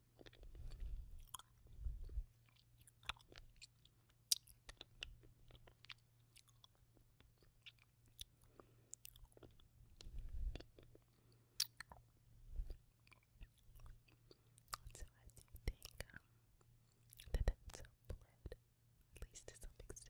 So I think um, that that's a blend, at least to some extent.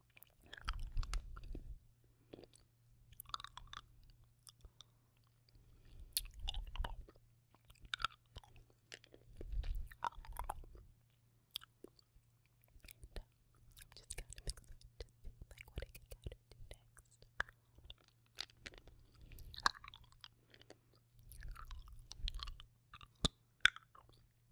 I'm just kind of excited to see like what I can kind of do next.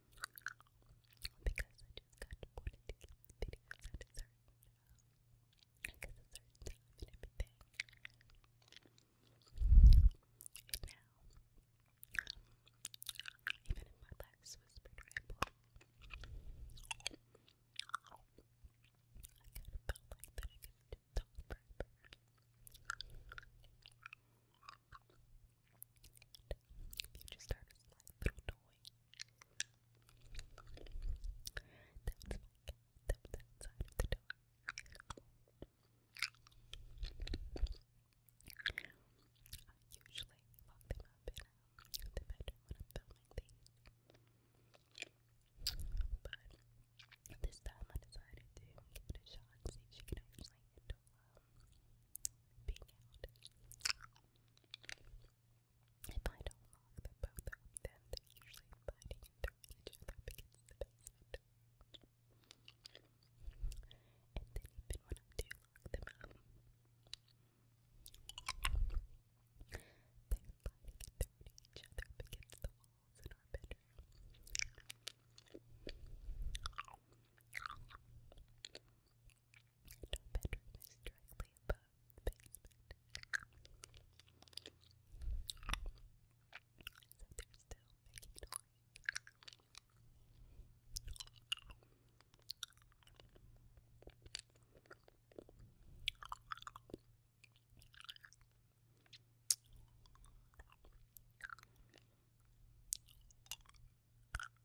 because I just got wanted to keep I guess a certain everything. And now even in my last whispered I felt like I could just talk forever. Future Star is my little toy. That was my of the door. I usually lock them up in the bedroom when I'm filming things. But this time I decided to give it a shot and see if she can actually handle being out. If I don't lock the both of them, they usually fighting each other against the basement. And then even when I do lock them up, they're each other against the walls in our bedroom. And our bedroom is directly above the basement. So they're still making noise.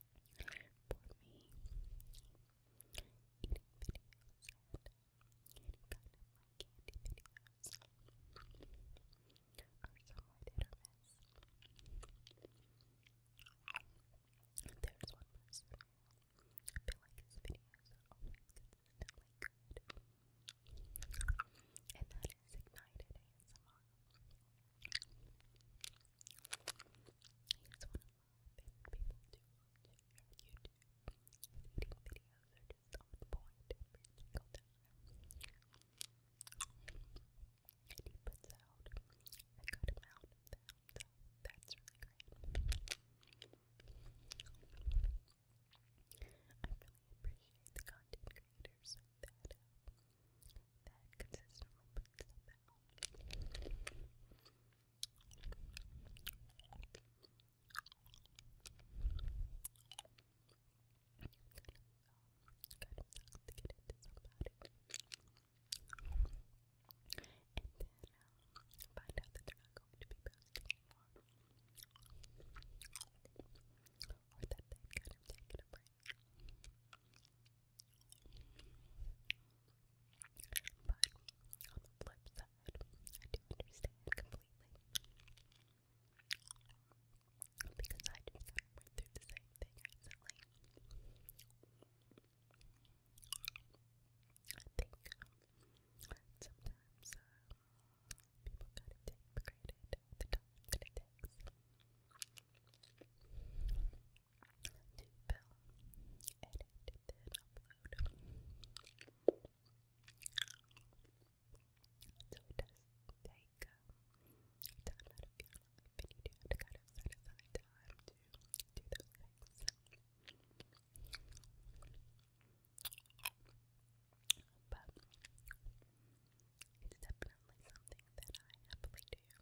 for me eating videos and any kind my candy videos are somewhat hit or miss. There's one person I feel like his videos are always consistently good, and that is Ignited ASMR. He's one of my favorite people to watch YouTube. eating videos are just on And he puts out a good amount so that's really great. I really appreciate the content creators uh, that consistently puts them out. Kind of, kind to get into somebody and then um, find out that they're not going to be best anymore or that they've taken a break but on the flip side, I do understand completely. Because I just went through the same thing recently. I think sometimes uh, people kind of take the time that it takes to film, edit, then upload. So it does take um, time of your life, and you do have to kind of set aside time to do those things. But it's definitely something that I happily do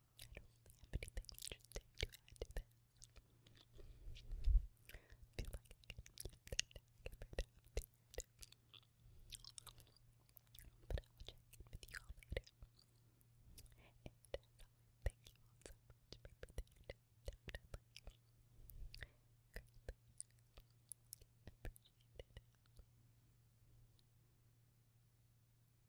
I don't have anything interesting to add I feel like I can use that get But I will check in with you all later. And thank you all so much for everything